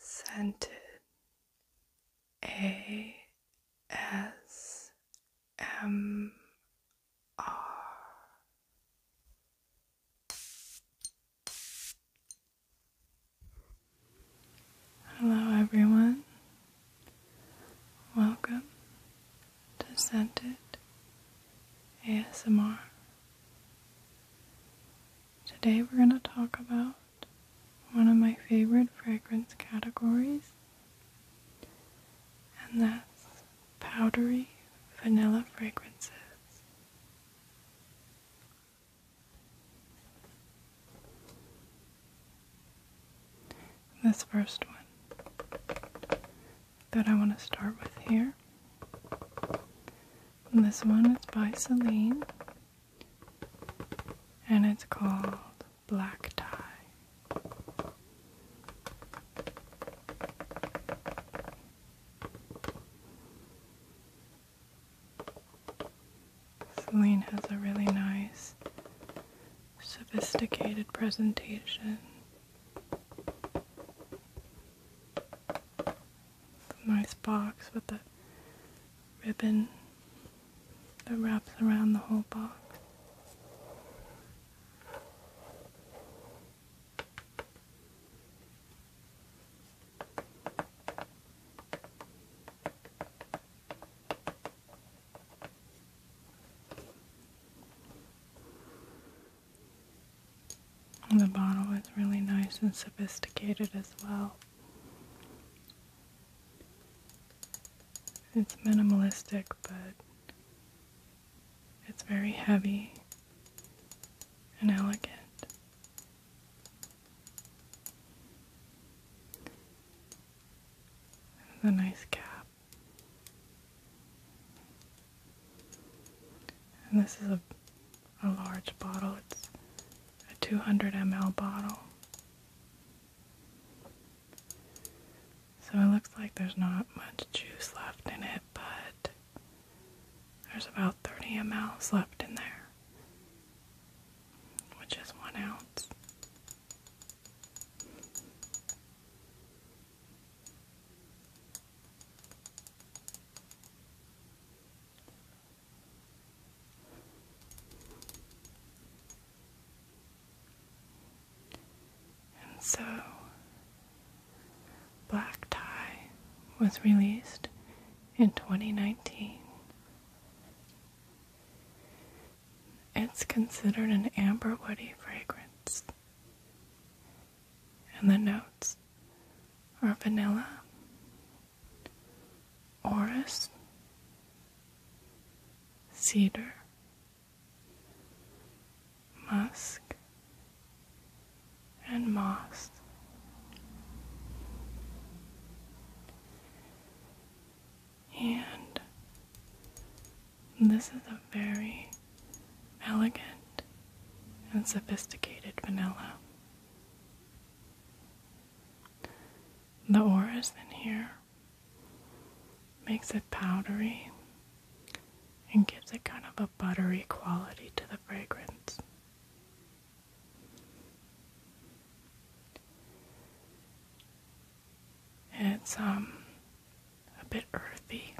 Sented A S M R Hello everyone. Welcome to Scented ASMR. Today we're going to talk about one of my favorite fragrance categories, and that's powdery vanilla fragrances. This first one that I want to start with here and this one is by Celine and it's called Black Tie. Celine has a really nice, sophisticated presentation nice box with the ribbon that wraps around the whole box the bottle is really nice and sophisticated as well. It's minimalistic, but it's very heavy and elegant. a nice cap. And this is a a large bottle. It's a 200 ml bottle. So it looks like there's not much juice left in it, but there's about 30 mL left in there, which is one ounce. And so, Black Tie was released in 2019. It's considered an amber woody fragrance, and the notes are vanilla, orris, cedar, musk, and moss. And this is a very elegant and sophisticated vanilla. The auras in here makes it powdery and gives it kind of a buttery quality to the fragrance. It's um a bit earthy.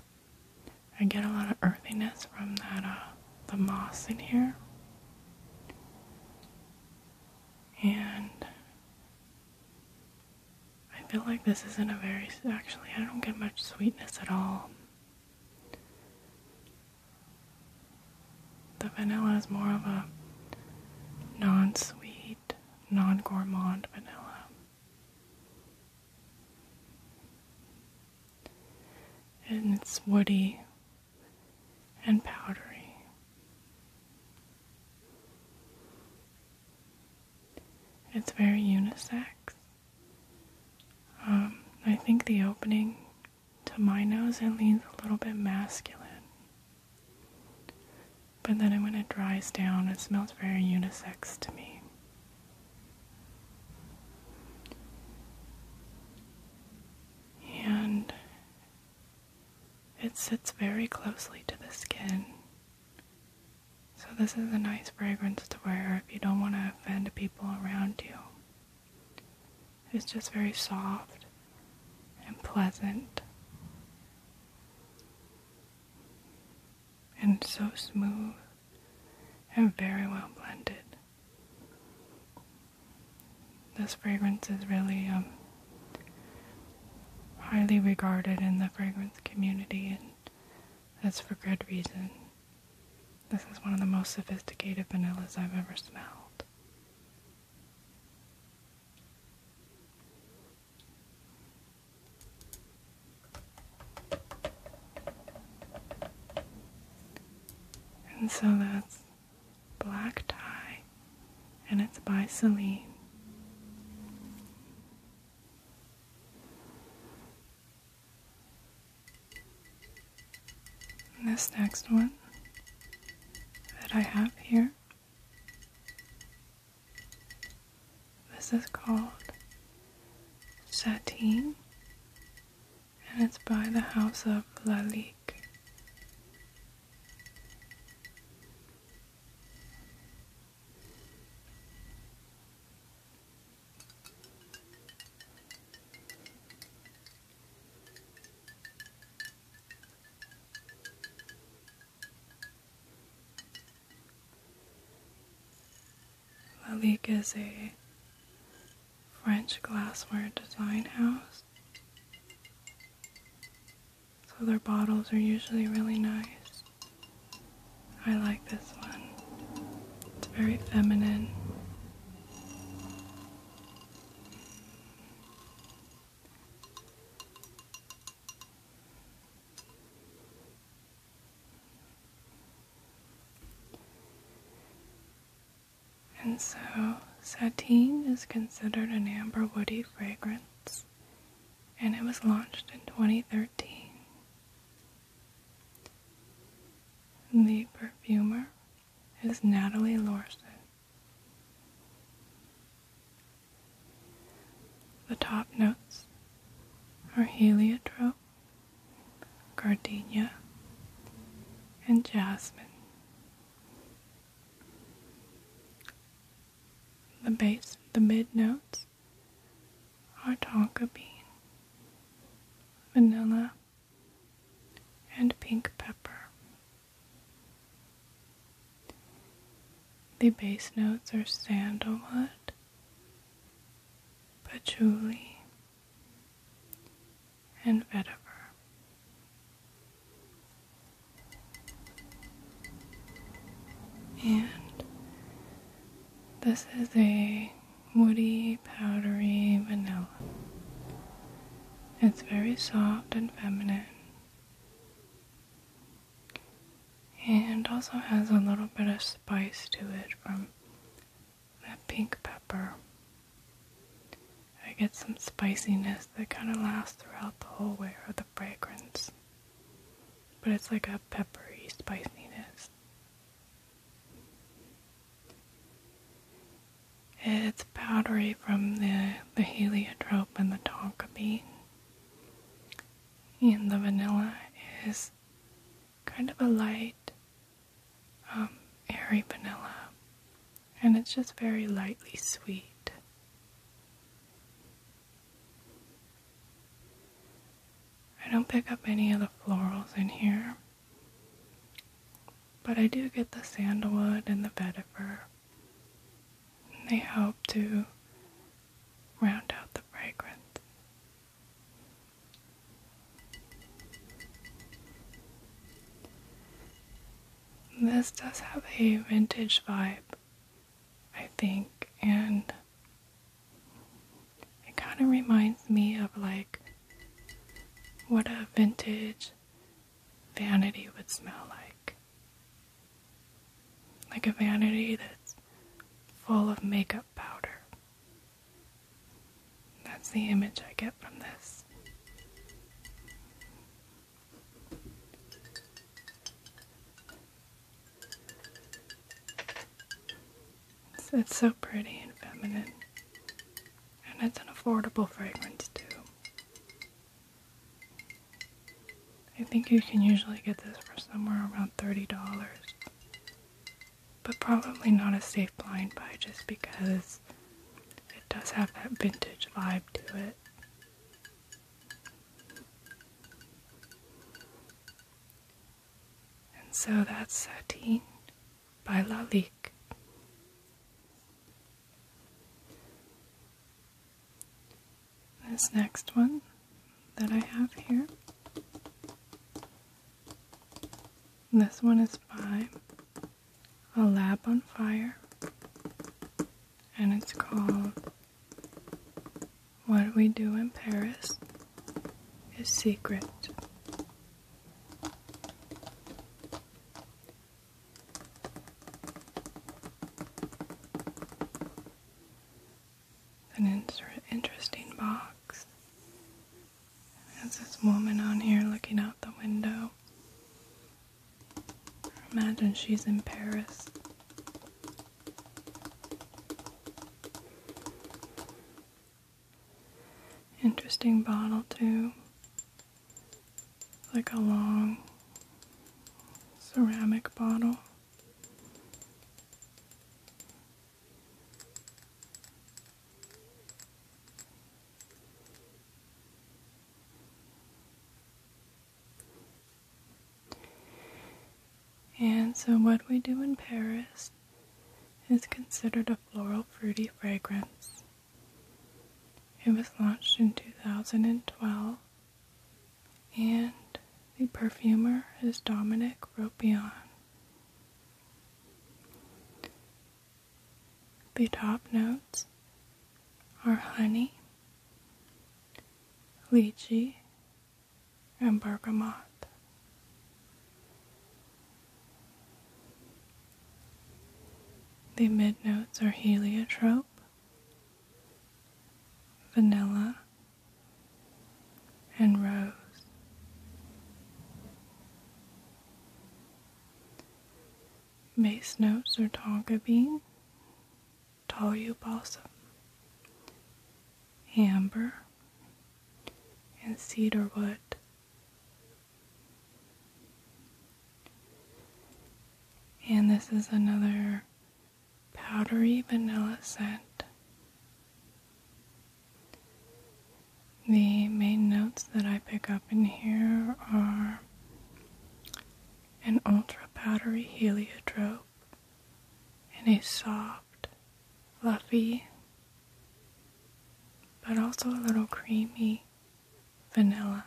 I get a lot of earthiness from that uh, the moss in here. And I feel like this isn't a very, actually, I don't get much sweetness at all. The vanilla is more of a non sweet, non gourmand vanilla. And it's woody, and powdery. It's very unisex. Um, I think the opening to my nose it leans a little bit masculine. But then when it dries down, it smells very unisex to me and it sits very closely to the skin. So, this is a nice fragrance to wear if you don't want to offend people around you. It's just very soft and pleasant and so smooth and very well blended. This fragrance is really um, highly regarded in the fragrance community, and that's for good reason. This is one of the most sophisticated vanillas I've ever smelled. And so that's Black Tie, and it's by Celine. this next one that I have here, this is called Satine and it's by the house of Lalique. Malik is a French glassware design house. So their bottles are usually really nice. I like this one. It's very feminine. And so, sateen is considered an amber woody fragrance, and it was launched in 2013. The perfumer is Natalie Lorson. The top notes are heliotrope, gardenia, and jasmine. The base, the mid notes are tonka bean, vanilla, and pink pepper. The base notes are sandalwood, patchouli, and vetiver. And this is a woody, powdery vanilla. It's very soft and feminine. And also has a little bit of spice to it from that pink pepper. I get some spiciness that kind of lasts throughout the whole wear of the fragrance. But it's like a peppery spiciness. It's powdery from the, heliotrope and the tonka bean. And the vanilla is kind of a light um, vanilla, and it's just very lightly sweet. I don't pick up any of the florals in here, but I do get the sandalwood and the vetiver. And they help to round out the fragrance. This does have a vintage vibe, I think, and it kind of reminds me of like what a vintage vanity would smell like. Like a vanity that's full of makeup powder that's the image I get from this. It's, so pretty and feminine, and it's an affordable fragrance too. I think you can usually get this for somewhere around $30, but probably not a safe blind buy just because it does have that vintage vibe to it. And so that's Satine by Lalique. This next one that I have here. This one is by a lab on fire, and it's called What We Do in Paris is Secret. An interesting box there's this woman on here looking out the window. Imagine she's in Paris. Interesting bottle, too. like a long ceramic bottle. And so, what we do in Paris is considered a floral fruity fragrance. It was launched in 2012, and the perfumer is Dominique Ropion. The top notes are honey, lychee, and bergamot. The mid notes are heliotrope, vanilla, and rose. Base notes are tonka bean, toyu balsam, amber, and cedar wood. And this is another powdery vanilla scent. The main notes that I pick up in here are an ultra powdery heliotrope and a soft, fluffy, but also a little creamy vanilla.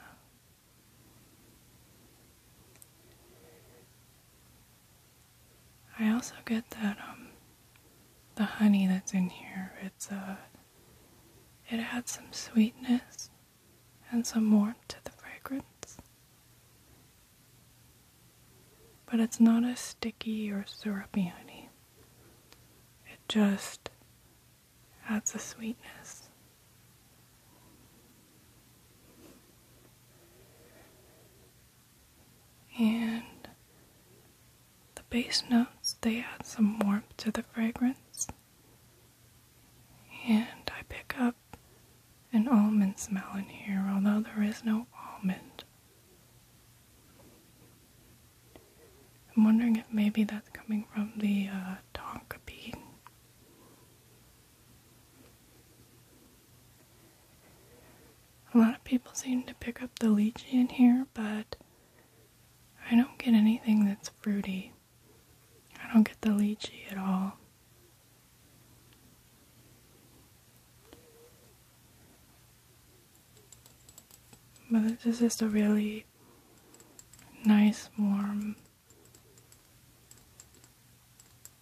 I also get that um, the honey that's in here. It's a uh, it adds some sweetness and some warmth to the fragrance. But it's not as sticky or syrupy honey. It just adds a sweetness. And the base notes, they add some warmth to the fragrance. And I pick up an almond smell in here, although there is no almond. I'm wondering if maybe that's coming from the uh, tonka bean. A lot of people seem to pick up the lychee in here, but I don't get anything that's fruity. I don't get the lychee at all. But this is a really nice, warm,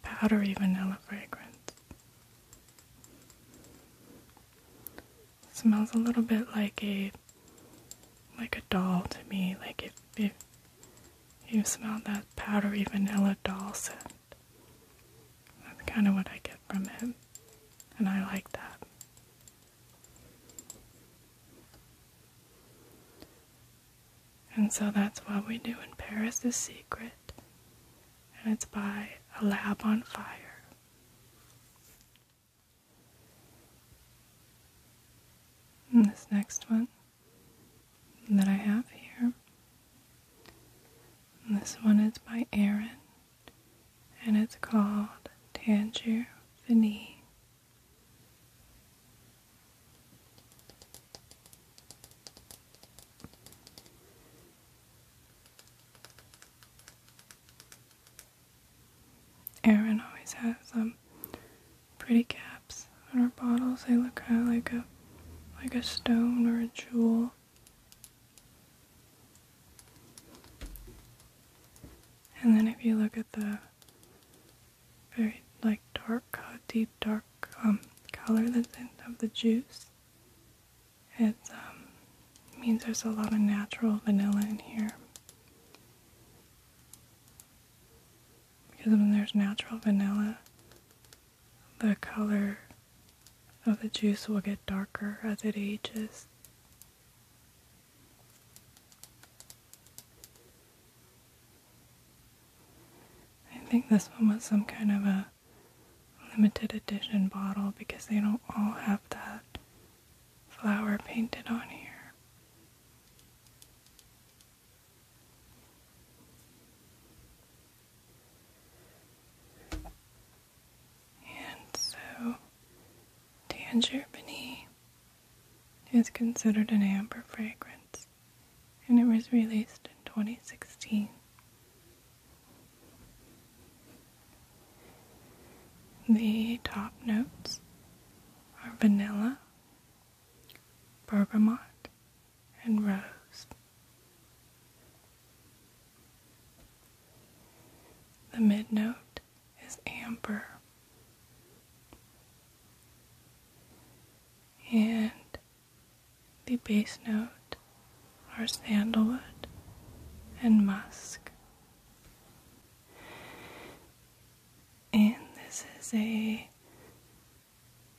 powdery vanilla fragrance smells a little bit like a like a doll to me. Like if you smell that powdery vanilla doll scent. That's kind of what I get from him. And I like that. And so that's what we do in Paris is Secret. And it's by A Lab on Fire this next one that I have here. this one is by Aaron and it's called Tangier Finis. Erin always has um pretty caps on her bottles. They look kind of like a like a stone or a jewel. And then if you look at the very like dark, deep dark um, color of the juice, it's um, means there's a lot of natural vanilla in here. Because when there's natural vanilla, the color of the juice will get darker as it ages. I think this one was some kind of a limited edition bottle because they don't all have that flower painted on here. And so Tangerbany is considered an amber fragrance and it was released in 2016. The top notes are vanilla, bergamot, and rose. The mid note is amber. And the bass note are sandalwood and musk. And this is a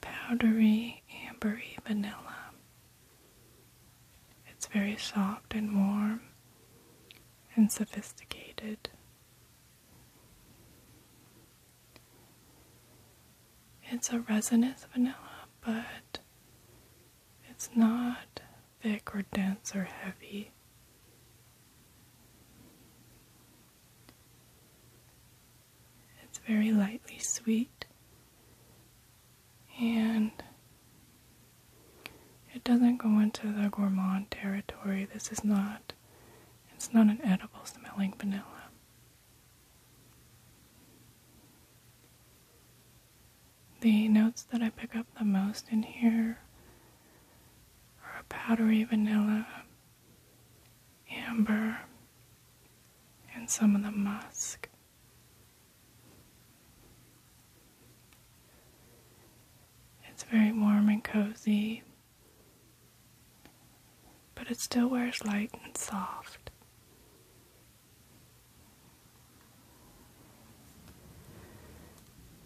powdery, ambery vanilla. It's very soft and warm and sophisticated. It's a resinous vanilla, but it's not thick or dense or heavy. It's very lightly sweet and it doesn't go into the gourmand territory. This is not it's not an edible smelling vanilla. The notes that I pick up the most in here are a powdery vanilla, amber, and some of the musk. It's very warm and cozy, but it still wears light and soft.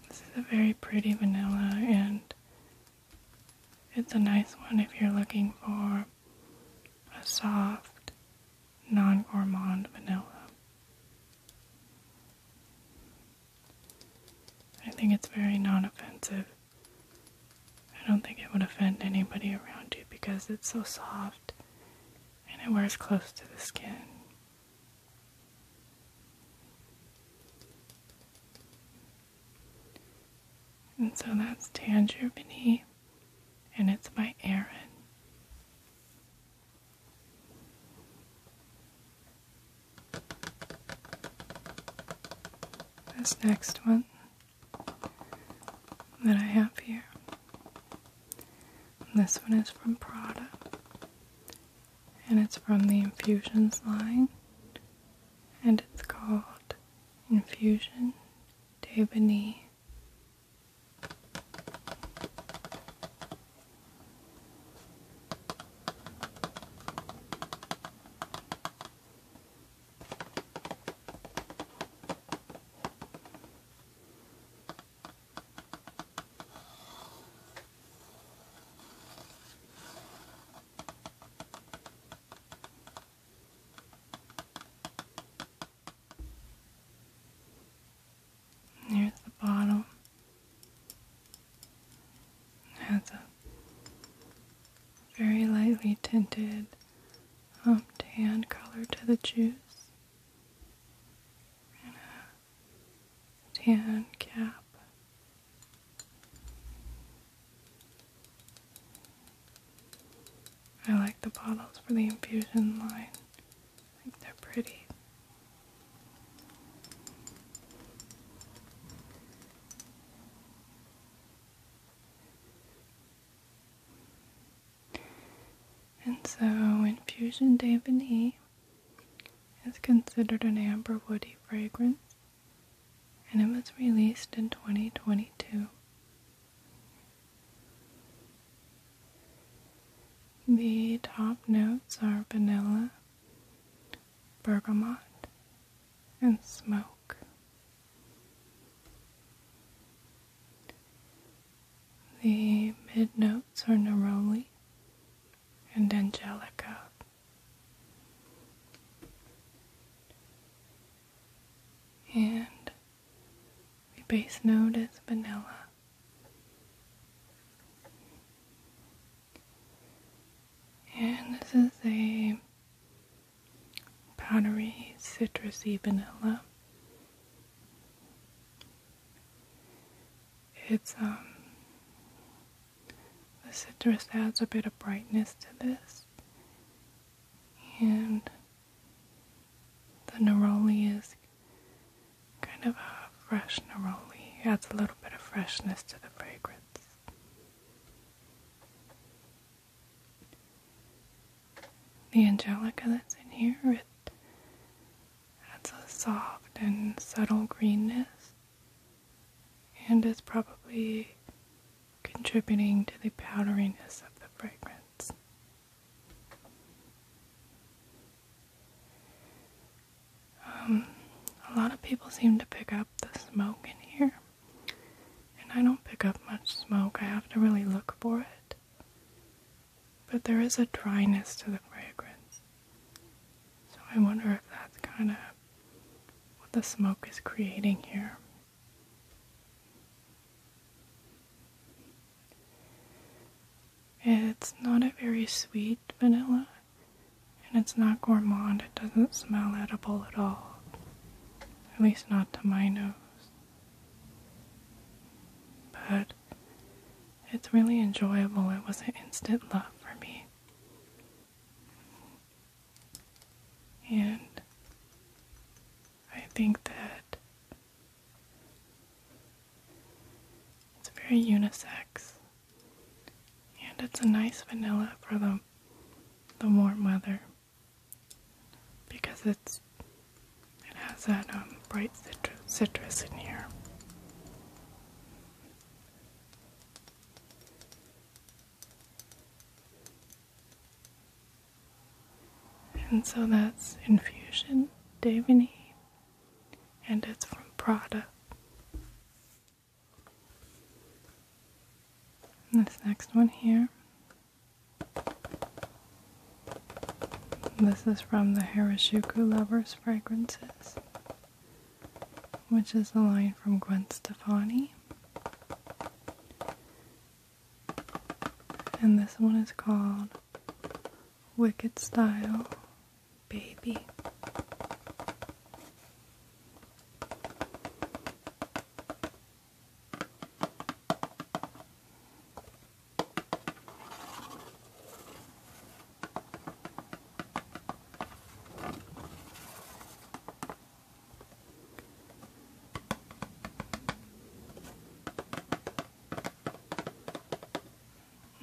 This is a very pretty vanilla and it's a nice one if you're looking for a soft, non-gourmand vanilla. I think it's very non-offensive. I don't think it would offend anybody around you because it's so soft and it wears close to the skin. And so that's Tangerine, and it's by Aaron. This next one that I have here. this one is from Prada and it's from the Infusions line, and it's called Infusion d'Ebony. There's the bottle. has a very lightly tinted um, tan to the juice tan cap. I like the bottles for the infusion line. I think they're pretty. And so, Infusion Day it's considered an amber woody fragrance and it was released in 2022. The top notes are vanilla, bergamot, and smoke. The mid notes are neroli, and Angelica. And the base note is vanilla. And this is a powdery citrusy vanilla. It's um, the citrus adds a bit of brightness to this and the neroli is kind of a fresh neroli. It adds a little bit of freshness to the fragrance. The angelica that's in here, adds a soft and subtle greenness and is probably contributing to the powderiness of the fragrance. Um, a lot of people seem to pick up the smoke in here, and I don't pick up much smoke. I have to really look for it. But there is a dryness to the fragrance. So I wonder if that's kind of what the smoke is creating here. It's not a very sweet vanilla and it's not gourmand. It doesn't smell edible at all. At least not to my nose. But it's really enjoyable. It was an instant love for me. And I think that it's very unisex. And it's a nice vanilla for the, the warm weather because it's it has that um, bright citrus in here. And so that's Infusion Davini, and it's from Prada. And this next one here. This is from the Harajuku Lovers fragrances which is the line from Gwen Stefani. And this one is called Wicked Style Baby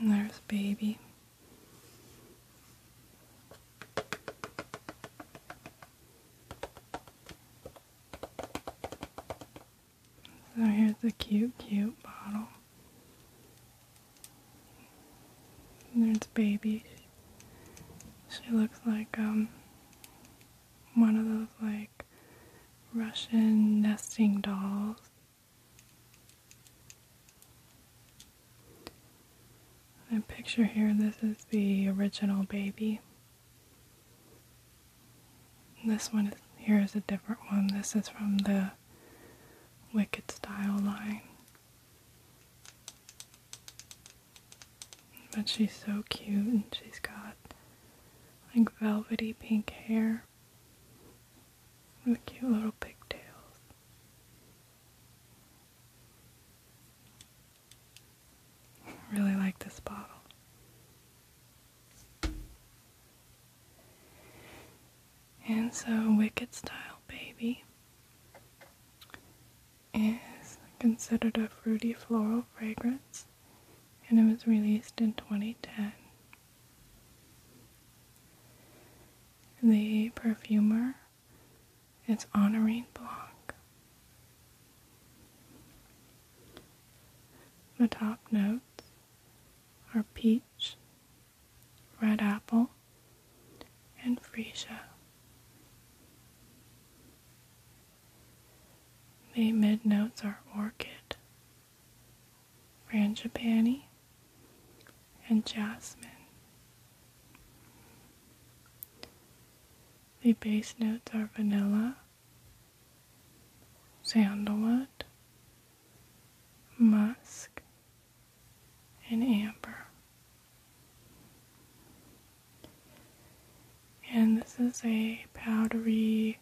there's baby. So here's the cute, cute bottle. And there's baby. She looks like um one of those like Russian nesting dolls. A picture here, this is the original baby. This one is, here is a different one. This is from the wicked style line. But she's so cute and she's got like velvety pink hair with cute little pigtails. really like this bottle. And so, Wicked Style Baby is considered a fruity floral fragrance, and it was released in 2010. The perfumer is Honorine Blanc. The top notes are peach, Red Apple, and freesia. The mid notes are orchid, frangipani, and jasmine. The base notes are vanilla, sandalwood, musk, and amber. And this is a powdery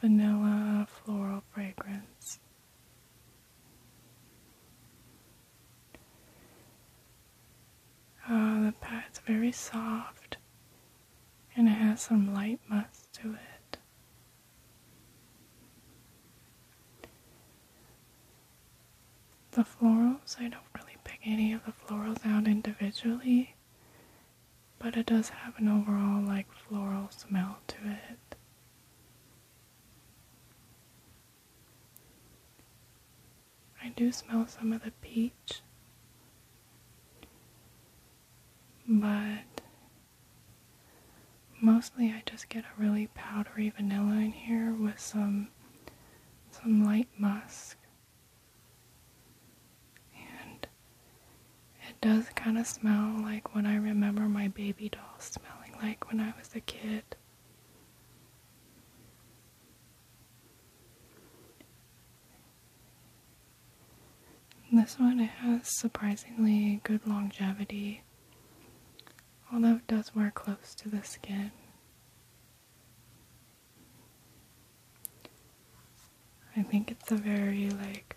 vanilla floral fragrance. Uh, the pad's very soft and it has some light musk to it. The florals, I don't really pick any of the florals out individually, but it does have an overall like floral smell to it. I do smell some of the peach, but Mostly I just get a really powdery vanilla in here with some some light musk. And it does kind of smell like when I remember my baby doll smelling like when I was a kid. This one has surprisingly good longevity although it does wear close to the skin. I think it's a very like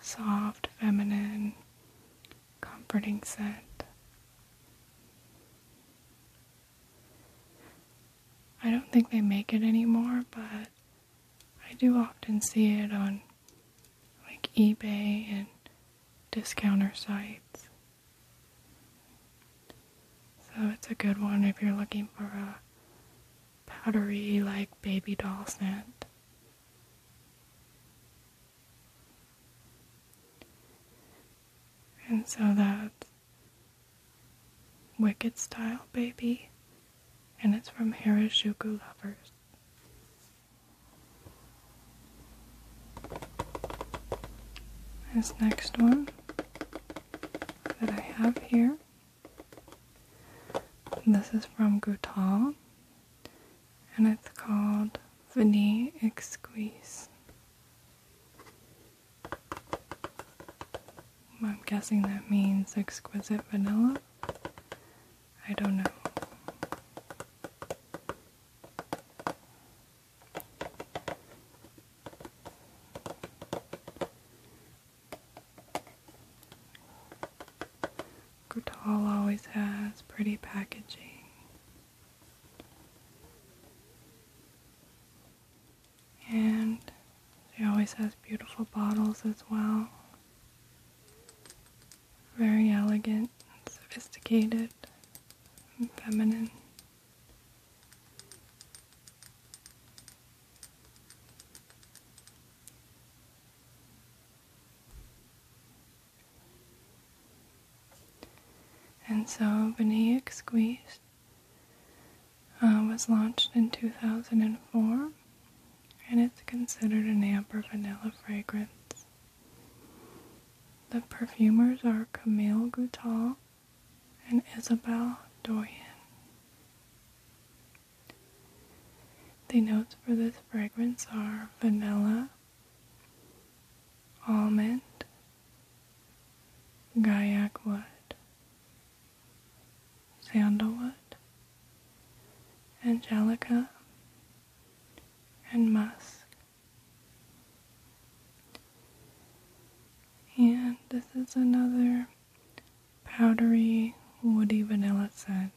soft, feminine, comforting scent. I don't think they make it anymore, but I do often see it on like eBay and discounter sites. So it's a good one if you're looking for a powdery like baby doll scent. And so that's Wicked Style Baby, and it's from Harajuku Lovers. This next one that I have here. This is from Gutal and it's called Vanille Exquise. I'm guessing that means exquisite vanilla. I don't know. Gutal always has pretty packaging. And she always has beautiful bottles as well. Very elegant, sophisticated, and feminine. And so Benaic Squeeze uh, was launched in 2004 and it's considered an amber vanilla fragrance. The perfumers are Camille Goutal and Isabelle Doyen. The notes for this fragrance are vanilla, almond, gaiac wood, sandalwood, angelica, and musk. And this is another powdery woody vanilla scent.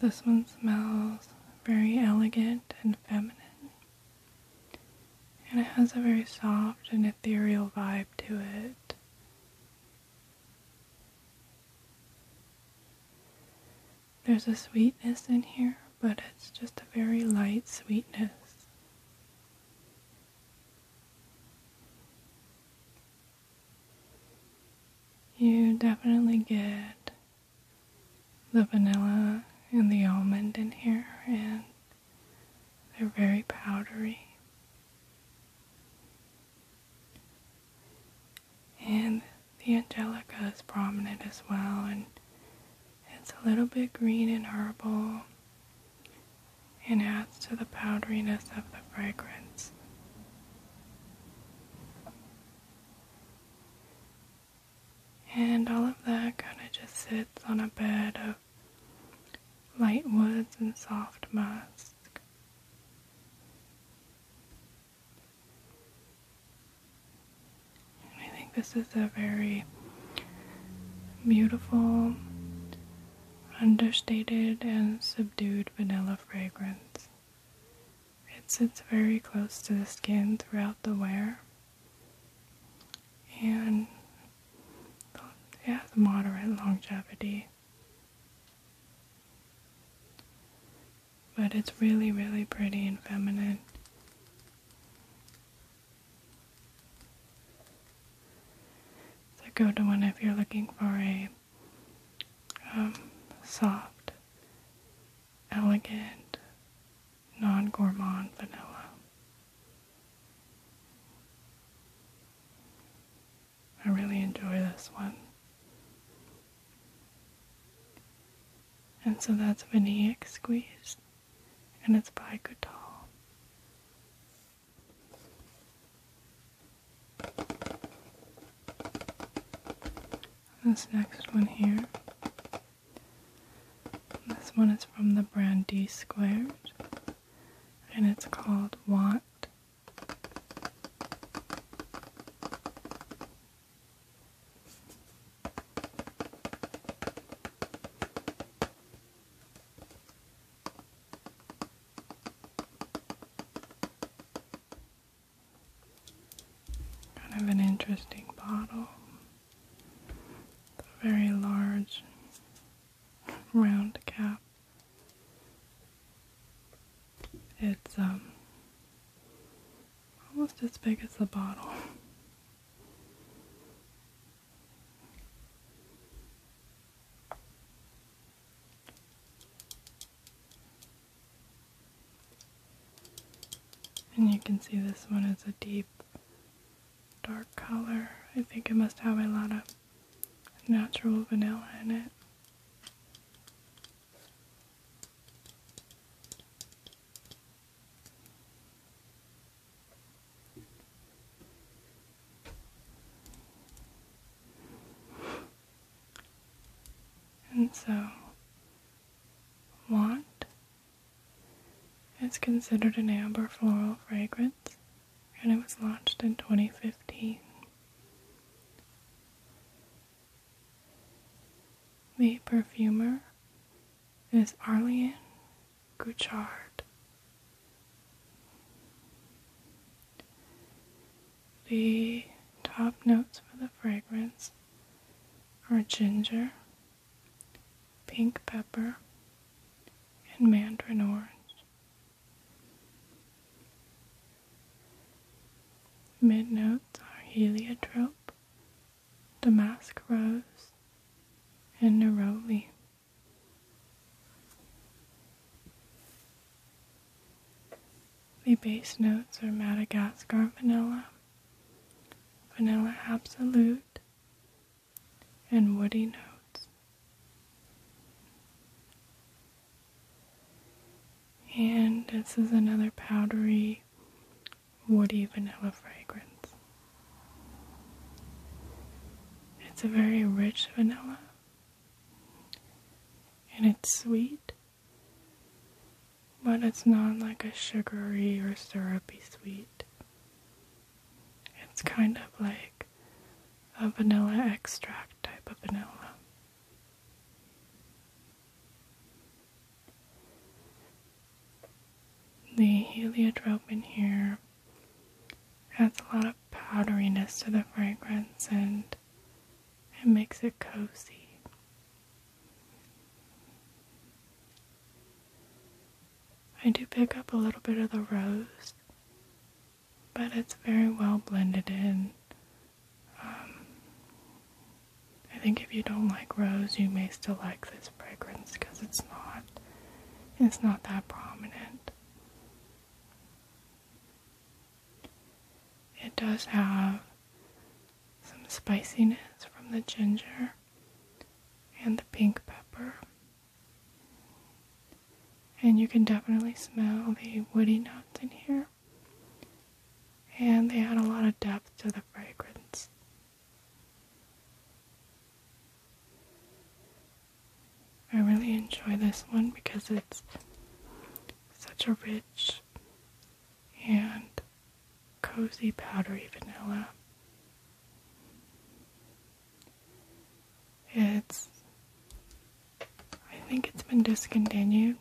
This one smells very elegant and feminine. And it has a very soft and ethereal vibe to it. There's a sweetness in here, but it's just a very light sweetness. You definitely get the vanilla and the almond in here, and they're very powdery and the angelica is prominent as well and it's a little bit green and herbal and adds to the powderiness of the fragrance. And all of that kind of just sits on a bed of light woods and soft musk. I think this is a very beautiful, understated, and subdued vanilla fragrance. It sits very close to the skin throughout the wear. And it has moderate longevity. But it's really, really pretty and feminine. It's a go to one if you're looking for a um, soft, elegant, non gourmand vanilla. I really enjoy this one. And so that's Vanillaic Squeeze, and it's by Gutal. This next one here. This one is from the brand D Squared, and it's called Want Kind of an interesting bottle. very large round cap. It's um, almost as big as the bottle. And you can see this one is a deep dark color. I think it must have a lot of natural vanilla in it. And so, Wat is considered an amber floral fragrance, and it was launched in 2015. The perfumer is Arlene Gouchard. The top notes for the fragrance are ginger, pink pepper, and mandarin orange. Mid notes are heliotrope, damask rose, and neroli. The bass notes are Madagascar vanilla, vanilla absolute, and woody notes. And this is another powdery, woody vanilla fragrance. It's a very rich vanilla and it's sweet, but it's not like a sugary or syrupy sweet. It's kind of like a vanilla extract type of vanilla. The heliotrope in here adds a lot of powderiness to the fragrance and it makes it cozy. I do pick up a little bit of the rose, but it's very well blended in um, I think if you don't like rose, you may still like this fragrance because it's not it's not that prominent. It does have some spiciness from the ginger and the pink pepper. And you can definitely smell the woody notes in here and they add a lot of depth to the fragrance. I really enjoy this one because it's such a rich and cozy powdery vanilla. It's, I think it's been discontinued,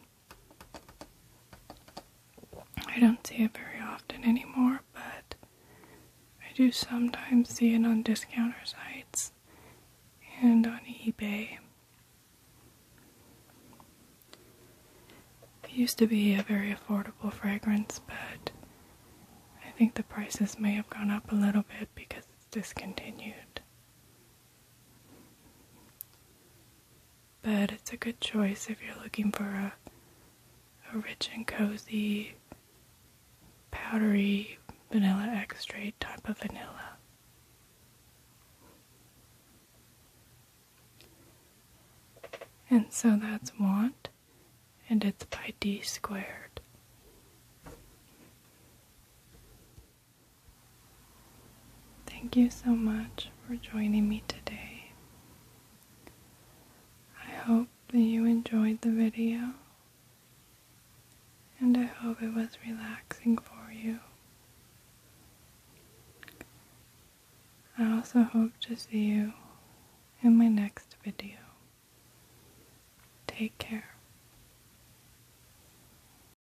I don't see it very often anymore, but I do sometimes see it on discounters' sites and on eBay. It used to be a very affordable fragrance, but I think the prices may have gone up a little bit because it's discontinued. But it's a good choice if you're looking for a, a rich and cozy, powdery vanilla extract type of vanilla. And so that's want, and it's by d squared. Thank you so much for joining me today. I hope that you enjoyed the video and I hope it was relaxing for you. I also hope to see you in my next video. Take care.